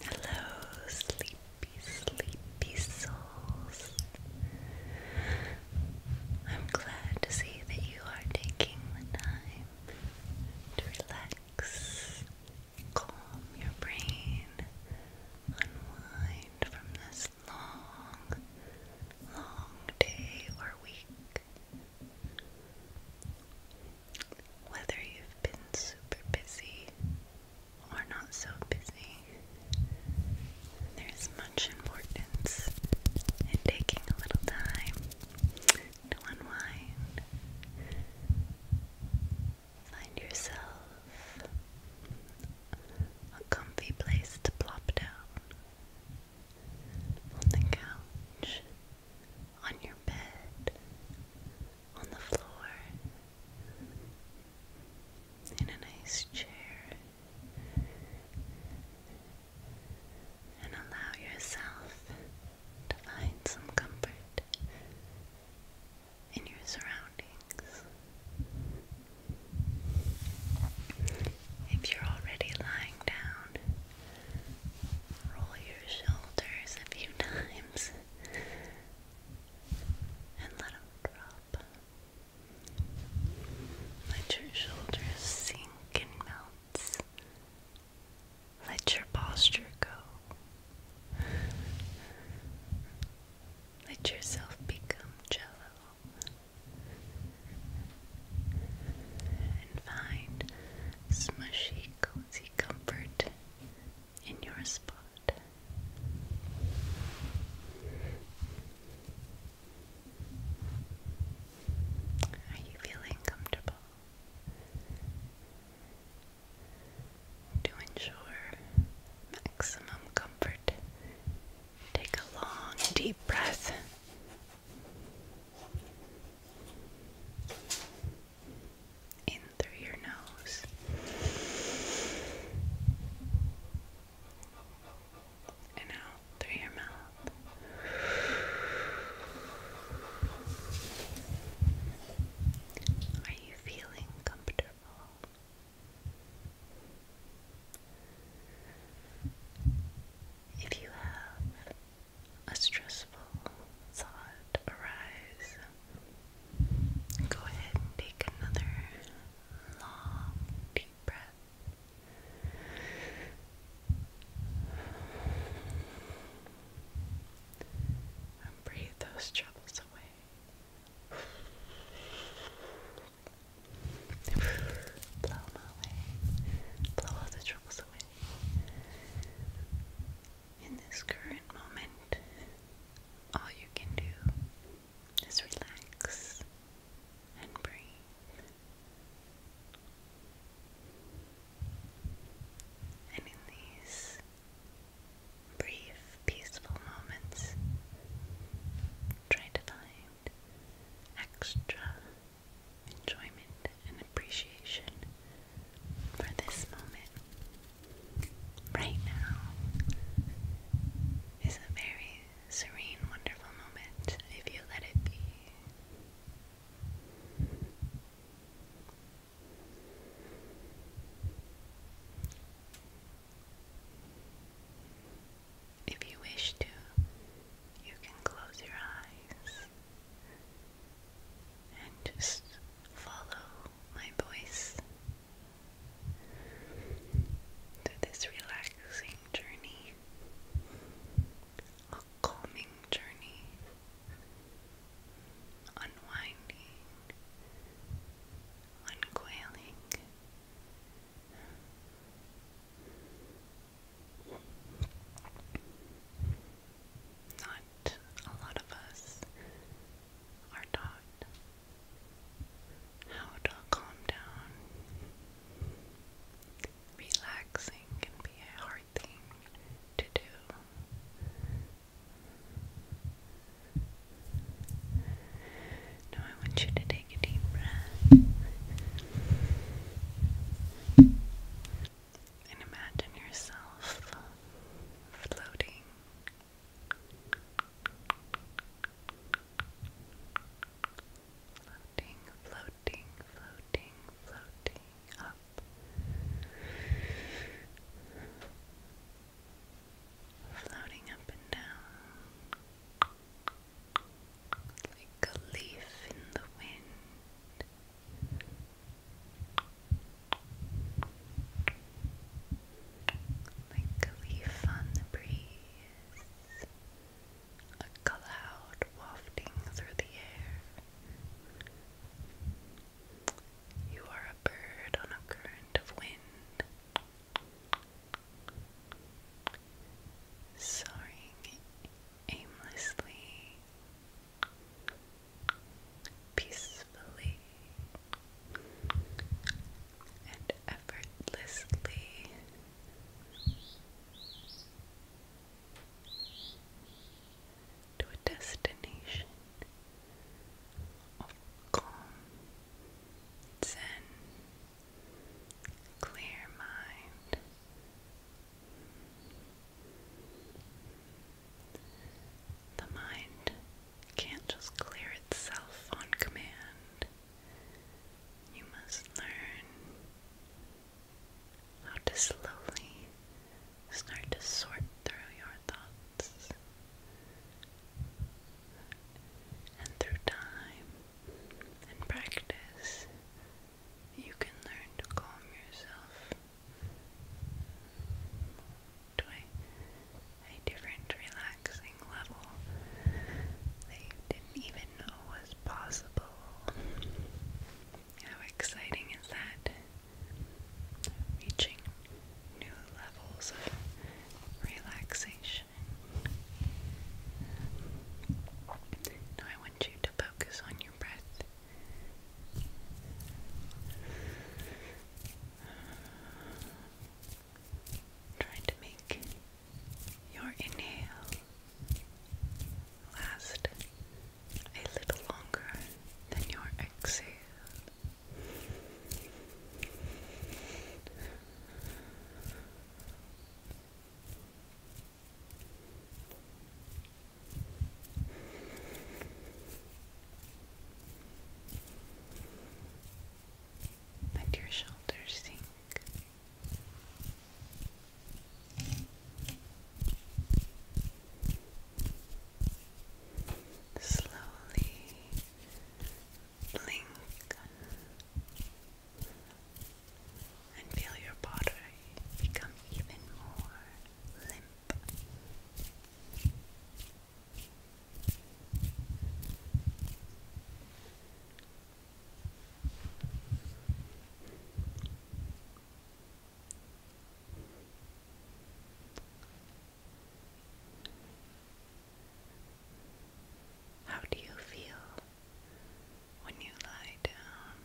Hello, sleepy, sleepy souls. I'm glad to see that you are taking the time to relax, calm your brain, unwind from this long, long day or week. Whether you've been super busy or not so busy, there is much importance in taking a little time to unwind. Find yourself a comfy place to plop down. On the couch, on your bed, on the floor, in a nice chair, and allow yourself to find some comfort in your surroundings. If you're already lying down, roll your shoulders a few times and let them drop. Let your shoulders sink and melt. Let your posture go. Let yourself become jello and find smushy, cozy comfort in your spot. Are you feeling comfortable? To ensure maximum comfort Take a long, deep breath. In through your nose. And out through your mouth. Are you feeling comfortable? If you have a stressful thought arise, go ahead and take another long, deep breath. And breathe those troubles away. Blow them away. Blow all the troubles away. In this current moment, all you can do is relax and breathe. And in these brief, peaceful moments. Try to find extra enjoyment and appreciation for this moment. Right now is a very serene, wonderful moment if you let it be. If you wish to, you can close your eyes and just follow my voice through this relaxing journey, a calming journey, unwinding uncoiling. Not a lot of us are taught how to calm down. Relaxing can be a hard thing to do. Now I want you to take a deep breath and imagine yourself floating. Floating, floating, floating, up, floating up and down like a leaf in the wind. Like a leaf on the breeze, a cloud wafting through the air. You are a bird on a current of wind, soaring aimlessly, peacefully, and effortlessly. To a destination of calm, zen, clear mind. The mind can't just clear itself on command. You must learn how to slowly start to sort through your thoughts and through time and practice, you can learn to calm yourself to a, different relaxing level that you didn't even know was possible. How exciting is that? Reaching new levels of relaxation. I want you to focus on your breath. Try to make your inhale last a little longer than your exhale. Let your shoulders sink. Slowly blink and feel your body become even more limp. How do you feel when you lie down?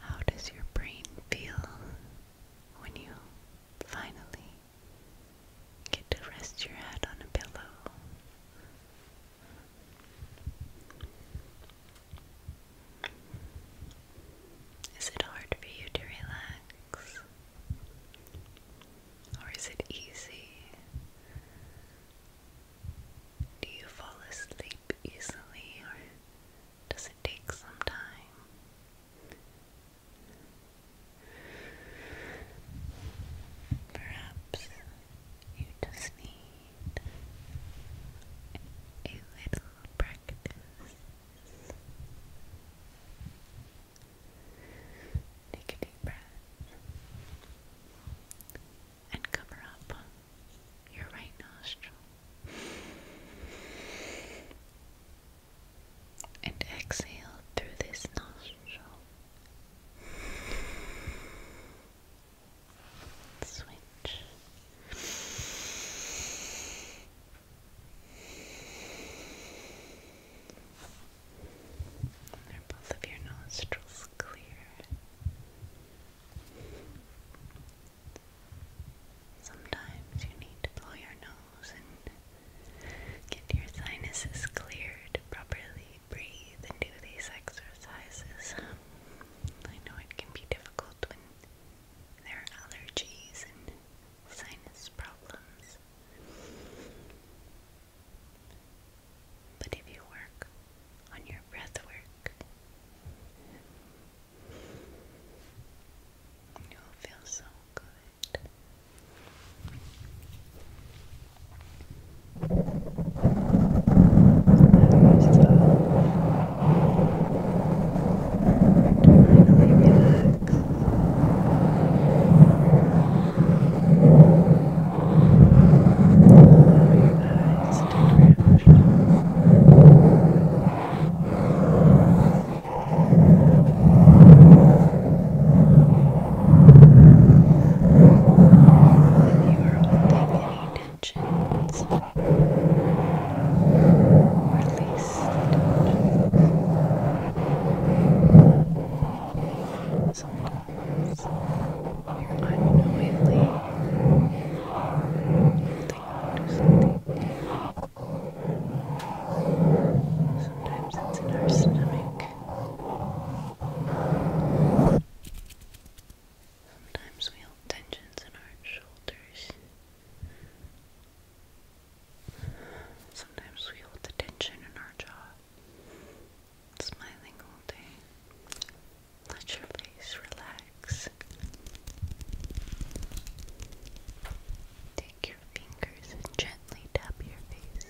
How does your brain feel when you finally get to rest your head on a pillow? Is it hard for you to relax? Or is it easy? Do you fall asleep easily or does it take some time? Perhaps you just need a little practice. Take a breath and cover up your right nostril. And exhale through this nostril switch. Are both of your nostrils clear? Sometimes you need to blow your nose and get your sinuses cleared properly breathe and do these exercises. I know it can be difficult there are allergies and sinus problems. But if you work on your breath you will feel so good. Finally relax. Allow your eyes to drift. When you are holding any tensions. Release the Sometimes unknowingly holding on something. Sometimes it's in our stomach. Sometimes we hold tensions in our shoulders. Sometimes we hold the tension in our jaw. Smiling all day. Let your face relax. Take your fingers and gently tap your face.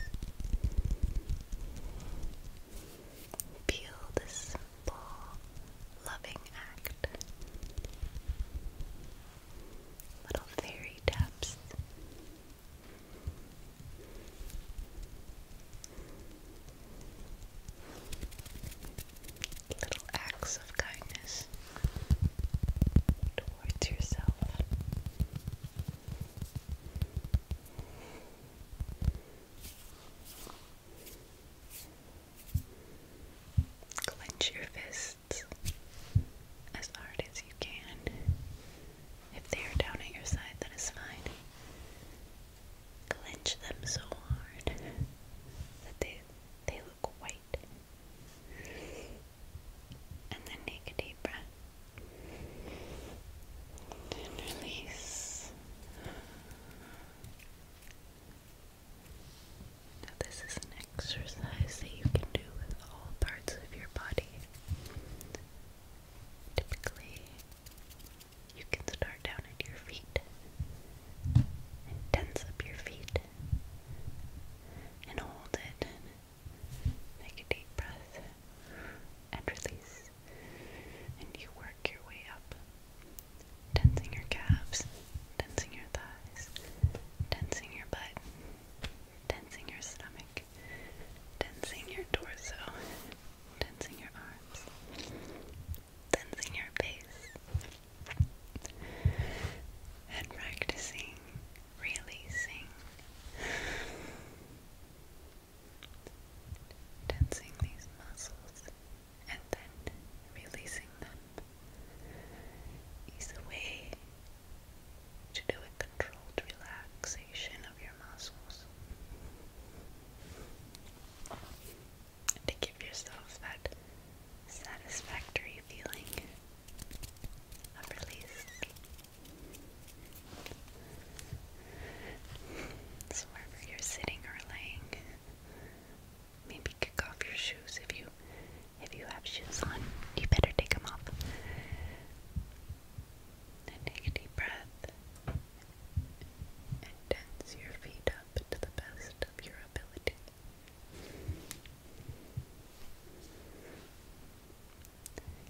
Feel this simple, loving act. Little fairy taps. Little acts of kindness towards yourself. Clench your fists as hard as you can. If they are down at your side, that is fine. Clench them so hard that they they look white. And then take a deep breath. And release this is an exercise that you can do with all parts of your body. Typically, you can start down at your feet and tense up your feet and hold it. Take a deep breath and release and you work your way up, tensing your calves, tensing your thighs, tensing your butt, tensing your stomach, tensing your torso, tensing your arms, tensing your face, and practicing releasing tensing these muscles and then releasing them is a way to do a controlled relaxation of your muscles and to give yourself that satisfactory feeling of release. So wherever you're sitting or laying, maybe kick off your shoes if you if you have shoes on. You better take them off. Then take a deep breath and tense your feet up to the best of your ability.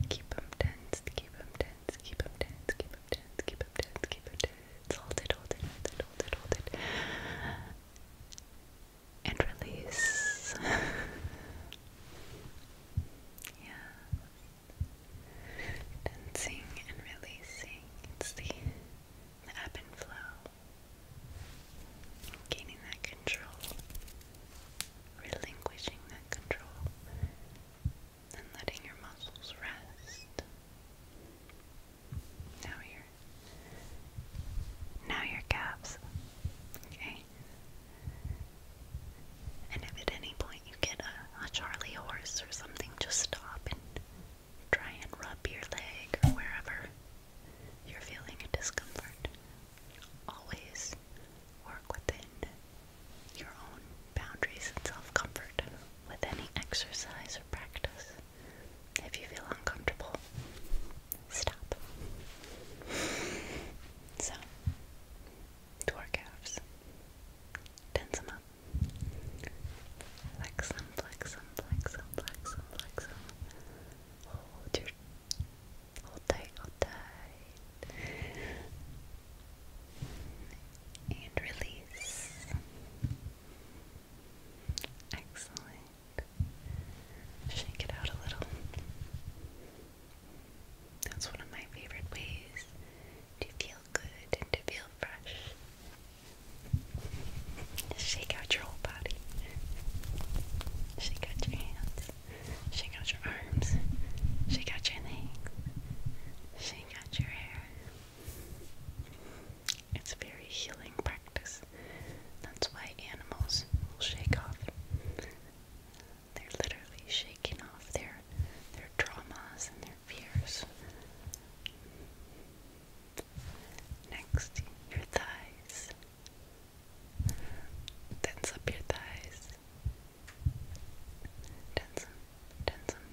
Keep them tense, keep them tense, keep them tense, keep up tense, keep up keep up Hold it, hold it, hold it, hold it, hold it. And release. yeah. Tensing and releasing. It's the, the ebb and flow. Gaining that control. Relinquishing that control and letting your muscles rest. Now your now your calves. Okay. And if at any point you get a, a Charlie horse or something, just stop and try and rub your leg or wherever you're feeling discomfort. Always work within your own boundaries and self comfort with any exercise or practice. If you feel uncomfortable, stop. So, door calves. them up. Flex them, flex them, flex them, flex them, flex them. Hold your. Hold tight, hold tight and release. Excellent. Shake it out a little. That's one of my favorite ways to feel good and to feel fresh. Shake out your whole body. Shake out your hands. Shake out your arms. Shake out your legs rinsing your hair. It's a very healing practice. That's why animals will shake off. They're literally shaking off their their traumas and their fears. Next, your thighs. Tense up your thighs. Denson, Denson.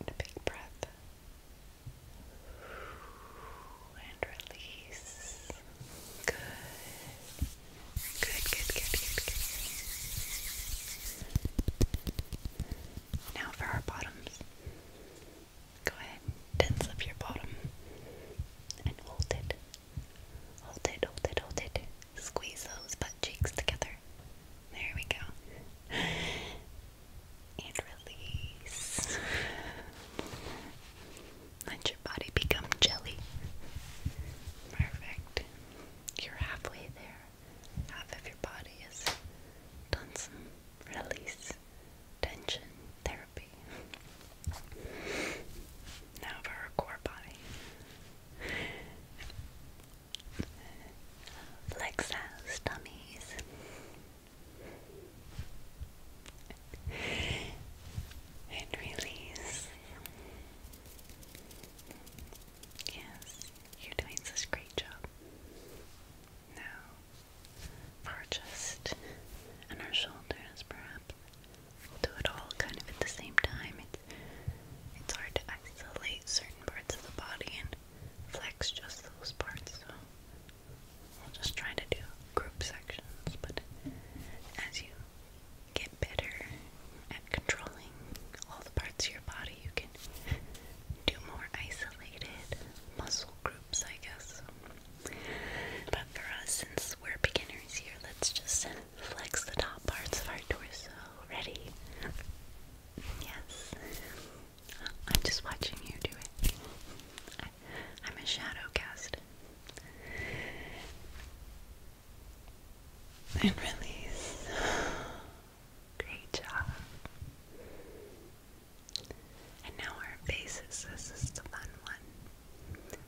And a big breath. And release. Good. Good, good, good, good, Now for our bottoms. Go ahead tense up your bottom and hold it. Hold it, hold it, hold it. Squeeze those butt cheeks together. There we go. And release. Let your body become jelly. Perfect. You're halfway there. Half of your body has done some release, tension, therapy happy. Now for her core body. Lexa's dummies. And release. Yes, you're doing such great job. Now, for just on our shoulders, perhaps do it all kind of at the same time. It's, it's hard to isolate certain parts of the body and flex just those parts, so we'll just try to do group sections, but as you get better at controlling all the parts of your body, you can do more isolated muscle groups, I guess. But for us, since we're beginners here, let's just flex the top parts of our torso. Ready? Yes. I'm just watching you do it. I, am a shadow cast. And release. Great job. And now our faces. This is the fun one.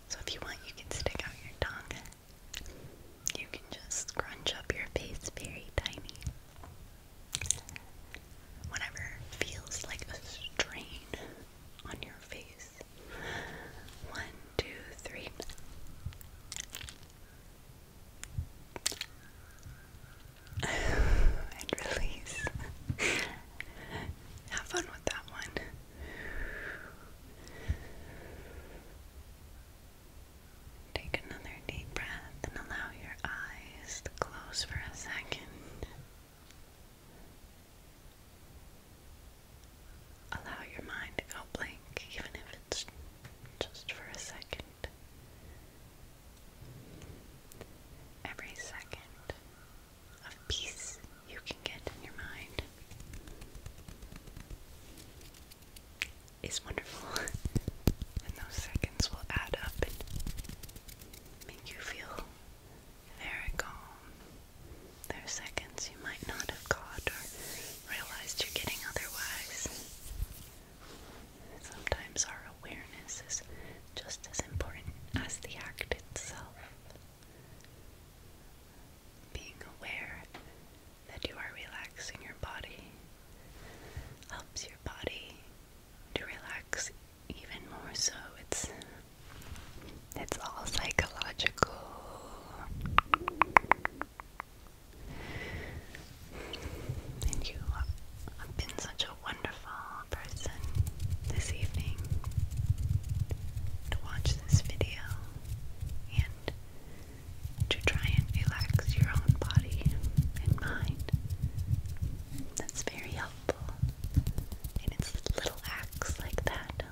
So if you want, you can stick out your tongue. You can just scrunch up your face very tiny. Whatever feels like a strain on your face. One, two, three. and release. Have fun with that one. Take another deep breath and allow your eyes to close for a second. Allow your mind to go blank, even if it's just for a second. Every second of peace you can get in your mind is wonderful. and those seconds will add up and make you feel very calm. There are seconds you might not have caught or realized you're getting otherwise. Sometimes our awareness is just as important as the act itself. Being aware that you are relaxing your body helps your body to relax even more so. It's it's all psychological. And you have been such a wonderful person this evening to watch this video and to try and relax your own body and mind. That's very helpful. And it's little acts like that,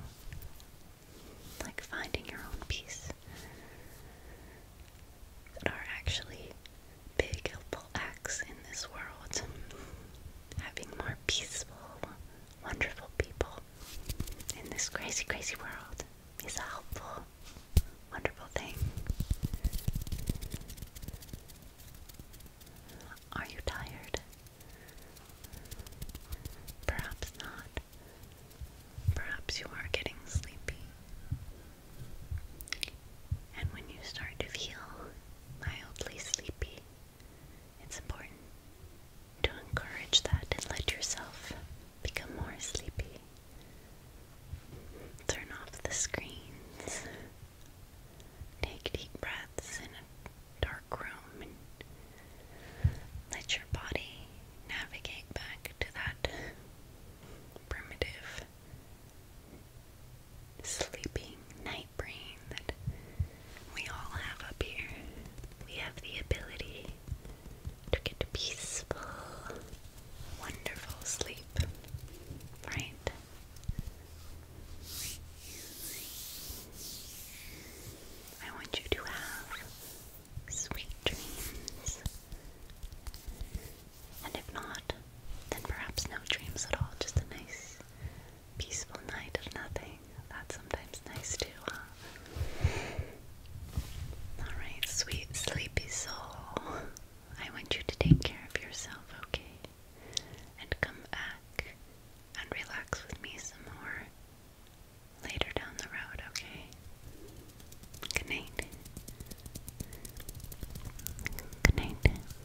like finding your own peace, that are actually big helpful acts in this world. Having more peaceful, wonderful people in this crazy, crazy world is a helpful, wonderful thing. Are you tired? Perhaps not. Perhaps you are getting sleepy. And when you start to feel mildly sleepy, it's important to encourage that and let yourself become more sleepy. Turn off the screens. Take deep breaths in a dark room and let your body navigate back to that primitive sleeping night brain that we all have up here. We have the ability to get to peaceful, wonderful sleep, right? I want you to have sweet dreams. And if not, then perhaps no dreams at all, just a nice, peaceful night of nothing. That's sometimes nice too, huh? Alright, sweet sleepy soul. I want you to take care of yourself, okay? And come back and relax with me some more later down the road, okay? Good night. Good night.